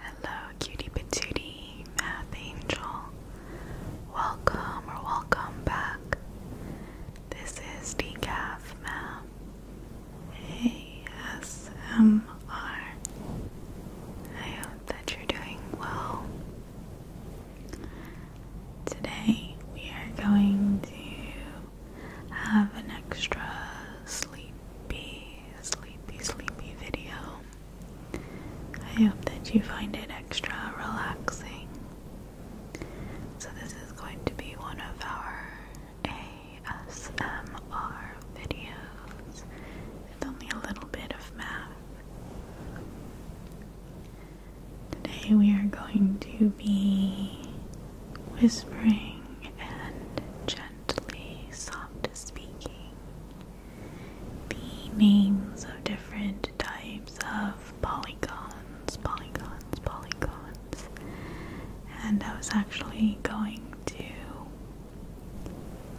Hello, cutie patootie, math angel. Welcome or welcome back. This is Decaf Math ASMR. I hope that you're doing well. Today we are going to have an extra sleepy sleepy, sleepy video. I hope that you find it extra relaxing. So, this is going to be one of our ASMR videos with only a little bit of math. Today, we are going to be whispering and gently, soft speaking. The names of different types of polygons, polygons, polygons. And I was actually going to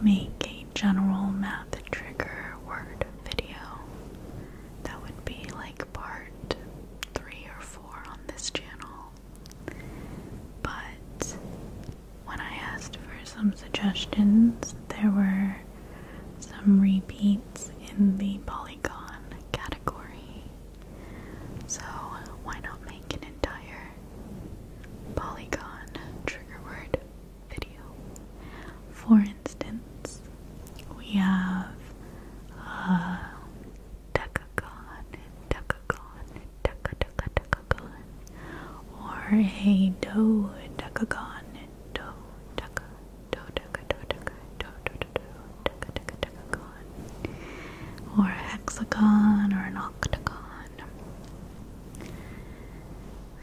make a general math trigger word video. That would be like part three or four on this channel. But when I asked for some suggestions, there were some repeats in the polygon category. So, why not make an entire polygon trigger word video? For instance, we have uh, decagon, decagon, deca or a do do deca, or a hexagon or an octagon.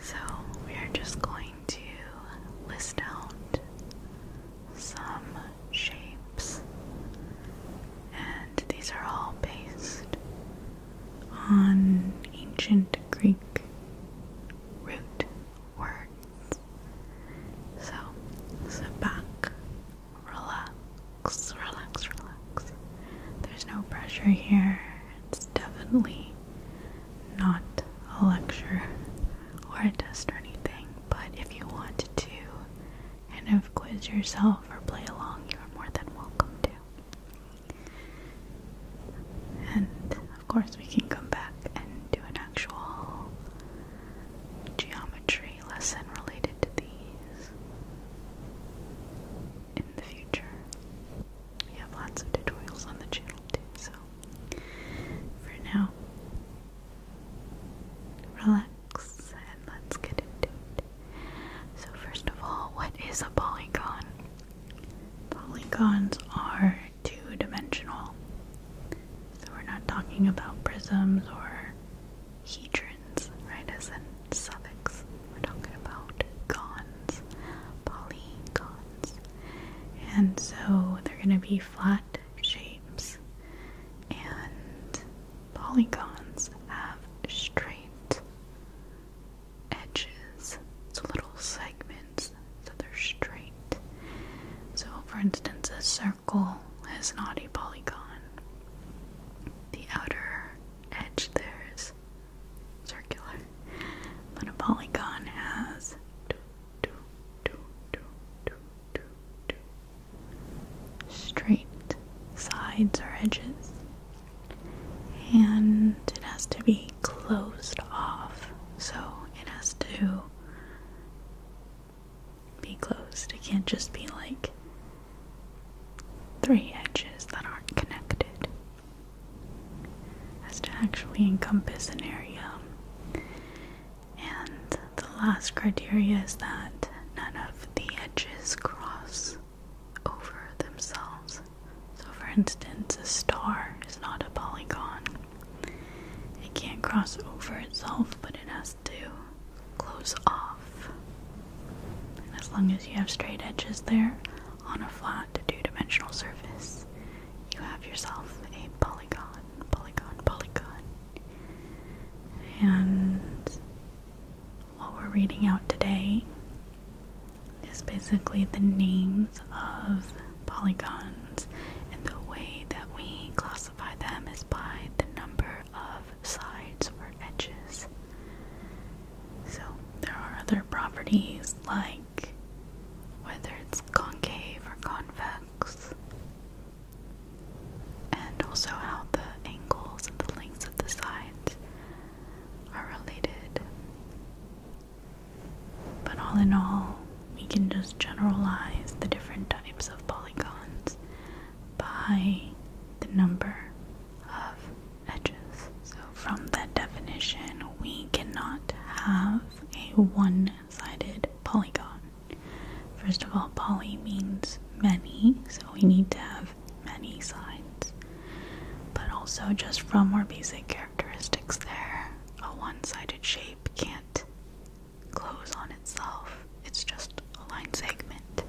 So we are just going to list out some shapes. And these are all based on ancient Greek root words. So, sit back, relax, relax, relax. There's no pressure here. It's definitely not a lecture or a test or anything, but if you want to and have quiz yourself or play along, you are more than welcome to. And of course, we can come back and do an actual geometry lesson related to these in the future. We have lots of tutorials on the channel too, so for now, relax and let's get into it. So, first of all, what is a polygon? Polygons are two dimensional. So, we're not talking about prisms or hedrons, right? As in suffix. We're talking about polygons. And so they're going to be flat shapes, and polygons have straight edges, so little segments, so they're straight. So, for instance, a circle is not a polygon. The outer edge there is circular, but a polygon has straight sides or edges, and it has to be closed off, so it has to be closed. It can't just be like three edges that aren't connected. It has to actually encompass an area and the last criteria is that none of the edges cross over themselves. So, for instance, a star is not a polygon. It can't cross over itself, but it has to close off. as long as you have straight edges there on a flat two dimensional surface, you have yourself a polygon, polygon, polygon. And what we're reading out today is basically the names of polygons and the way that we classify them is by the number of sides or edges. So there are other properties like whether it's concave or convex and also how the angles and the lengths of the sides are related. But all in all, we can just generalize the different types of polygons by the number of edges. So, from that definition, we cannot have a one sided polygon. First of all, poly means many, so we need to have many sides. But also, just from our basic characteristics, there, a one sided shape can't close on itself, it's just a line segment.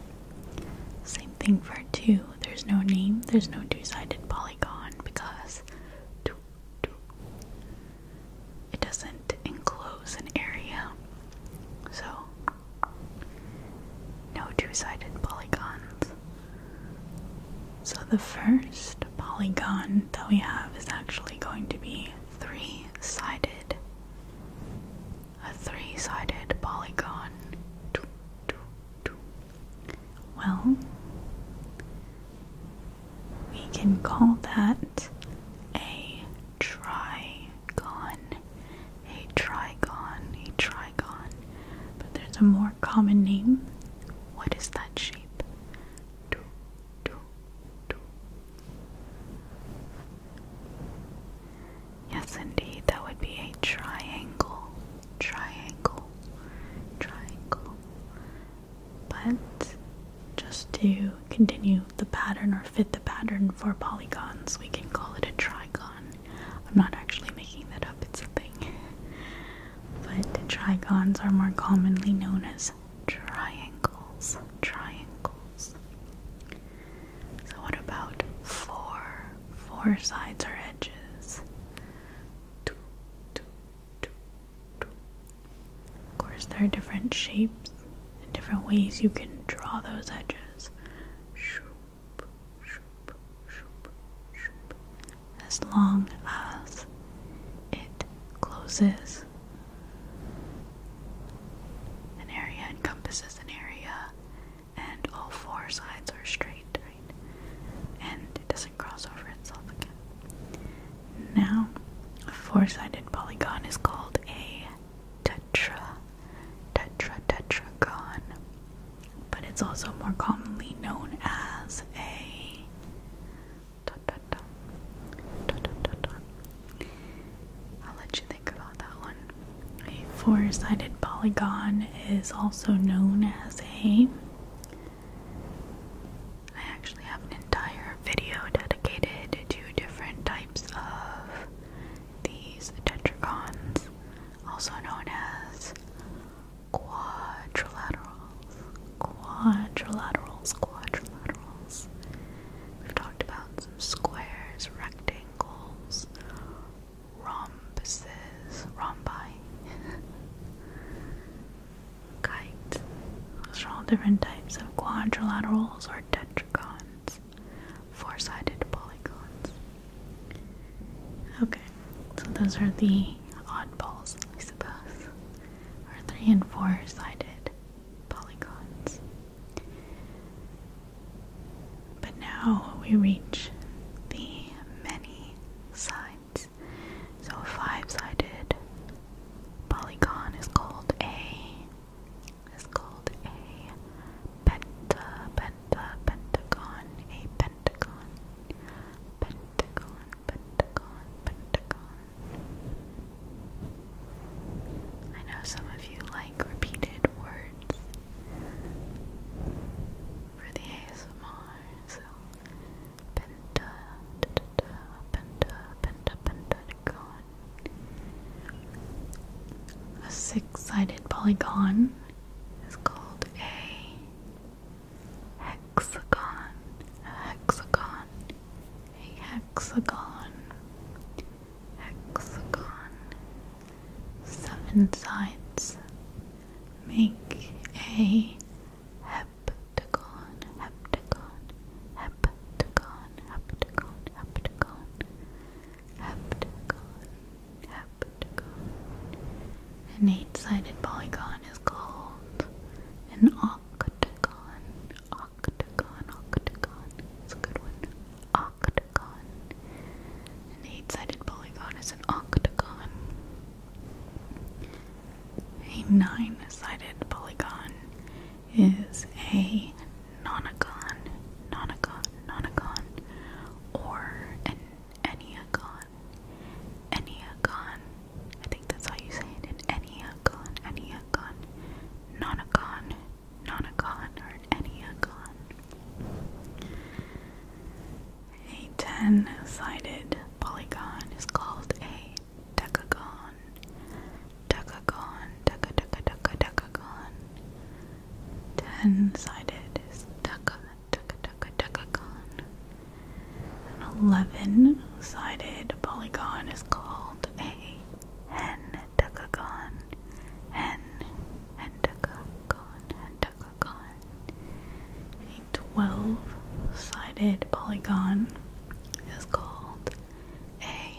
Same thing for two, there's no name, there's no two sided polygon because two it doesn't enclose an area, so no two sided polygons. So the first polygon that we have is actually going to be three sided. A three sided polygon. Well, we can call that a trigon. A trigon, a trigon. But there's a more common name. What is that shape? Do, do, do. Yes, indeed, that would be a triangle. Triangle. Triangle but just to continue the pattern or fit the pattern for polygons, we can call it a trigon. I'm not actually making that up, it's a thing. but trigons are more commonly known as triangles. Triangles. So, what about four? Four sides or edges. Two, two, two, of course, there are different shapes and different ways you can draw those edges. As long as it closes an area, encompasses an area, and all four sides are straight. And it doesn't cross over itself again. Now, a four-sided polygon is called a tetra, tetra, tetragon, but it's also more commonly known as a dot, dot, dot, dot, dot, dot, I'll let you think about that one. A four-sided polygon is also known as a I actually have an entire video dedicated to different types of these tetragons, also known as quadrilaterals. Quadrilaterals, quadrilaterals. We've talked about some squares, rectangles, rhomboids rhombuses, rhombi, kite. Those are all different types of quadrilaterals or tetragons, four-sided polygons. Okay, so those are the oddballs, I suppose, or three and four-sided polygons. But now we reach the many sides. So a five-sided polygon is called a is called a pentagon a pentagon pentagon pentagon pentagon. I know some of you like repeated words for the ASMR so penta, da, da, penta, pentagon. A six-sided polygon is called a hexagon. hexagon. A hexagon. Hexagon. Seven sides make a heptagon, heptagon, heptagon, heptagon, heptagon, heptagon, heptagon. An eight sided polygon is called an octagon. Octagon, octagon. It's a good one. Octagon. An eight-sided polygon is an octagon. A nine-sided polygon is a nonagon, nonagon, nonagon, or an enneagon, enneagon. I think that's how you say it, enneagon, enneagon, nonagon, nonagon, or an enneagon. A ten-sided polygon is called a decagon. Decagon, deca, deca, deca, decagon. Ten-sided is deca, deca, deca, decagon. An eleven-sided polygon is called a hendecagon. Hen, hendecagon, hendecagon a 12 sided polygon is called a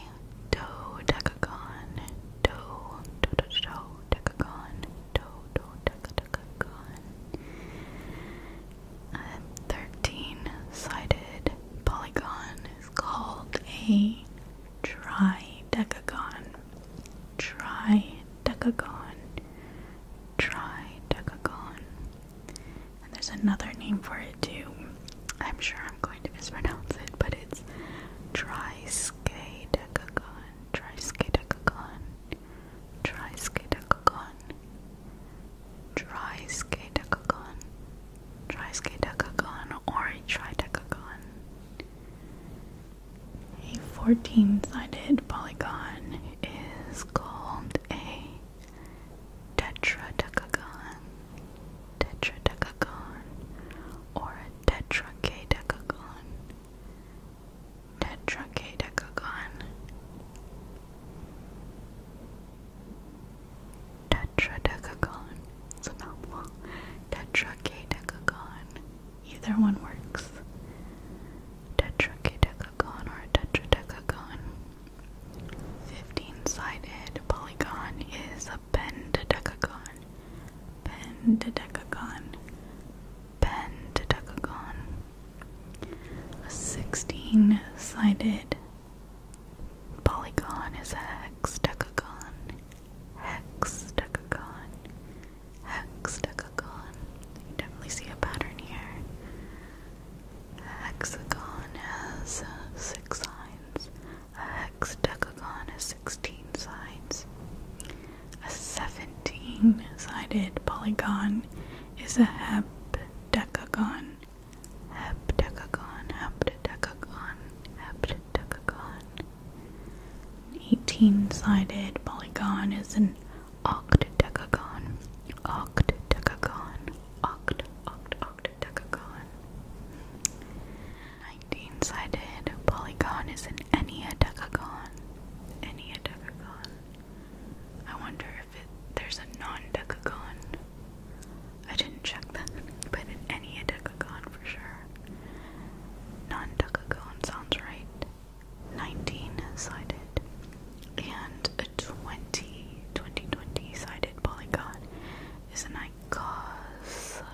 dodecagon. Do, do, do, do, decagon. Do, do, deca, A 13 sided polygon is called a tridecagon try decagon, try decagon. And there's another name for it too. I'm sure I'm going to mispronounce it, but it's triskaidekagon, triskaidekagon, triskaidekagon, triskaidekagon, triskaidekagon, or a tridecagon. A 14 sided polygon is called a tetradecagon, tetradecagon, or a decagon, tetracadecagon, tetracadecagon, tetradecagon. Sonopla, tetracadecagon. Either one works. Tetracadecagon or tetra tetradecagon. 15-sided polygon is a pentadecagon. Pentadecagon. Pentadecagon. A 16-sided polygon is a hexadecagon. Hex decagon, hex decagon. You definitely see a pattern here. hexagon has uh, six sides. A decagon has sixteen sides. A seventeen-sided polygon is a decagon. heptagon. decagon. heptagon, decagon. An 18 sided polygon is an octadecagon. Octadecagon. Oct, oct, octadecagon. 19 sided polygon is an enneadecagon. Enneadecagon. I wonder if it, there's a non decagon. I didn't check that, but in any Adekagon for sure. Non Decagon sounds right. 19 sided and a 20 2020 sided polygon is an icosagon,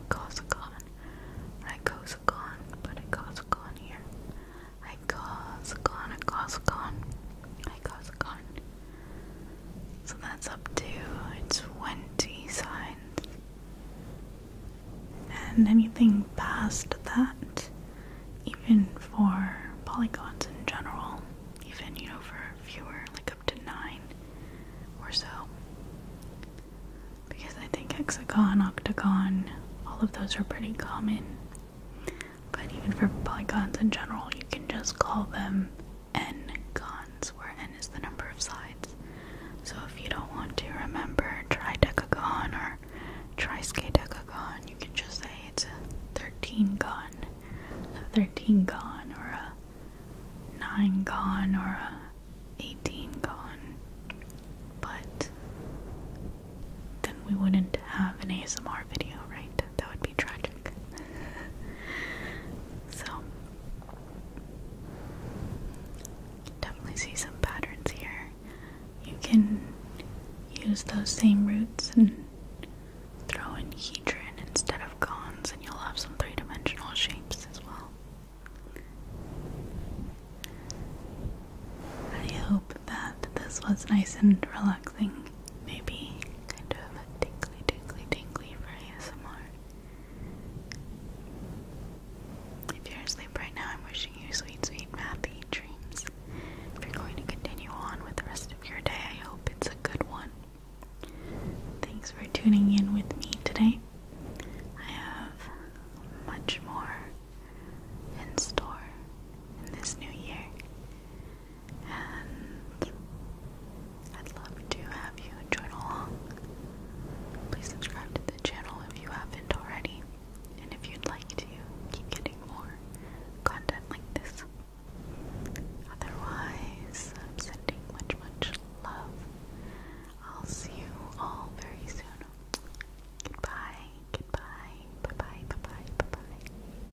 icosagon, or icosagon, a icosagon here. Icosagon, icosagon, icosagon. So that's up to 20 signs. And anything past that, even for polygons in general, even you know for fewer, like up to 9 or so. Because I think hexagon, octagon, all of those are pretty common. But even for polygons in general, you can just call them n cons, where n is the number of sides. So if you don't want to remember decagon or triskaidekagon, you can just say it's a 13 gon, a 13 or a 9 gon, or a 18 gon. But then we wouldn't have an ASMR video, right? That would be try so, definitely see some patterns here. You can use those same roots and throw in hedron instead of cones, and you'll have some three dimensional shapes as well. I hope that this was nice and relaxing maybe kind of a tingly, tingly, tingly for ASMR. If you're asleep right now, I'm wishing you sweet, sweet, happy dreams. If you're going to continue on with the rest of your day, I hope it's a good one. Thanks for tuning in with me today. I have much more in store in this new year and I'd love to have you join along. Please subscribe to the channel if you haven't already, and if you'd like to keep getting more content like this. Otherwise, sending much, much love. I'll see you all very soon. Goodbye, goodbye, bye bye, bye bye, bye bye.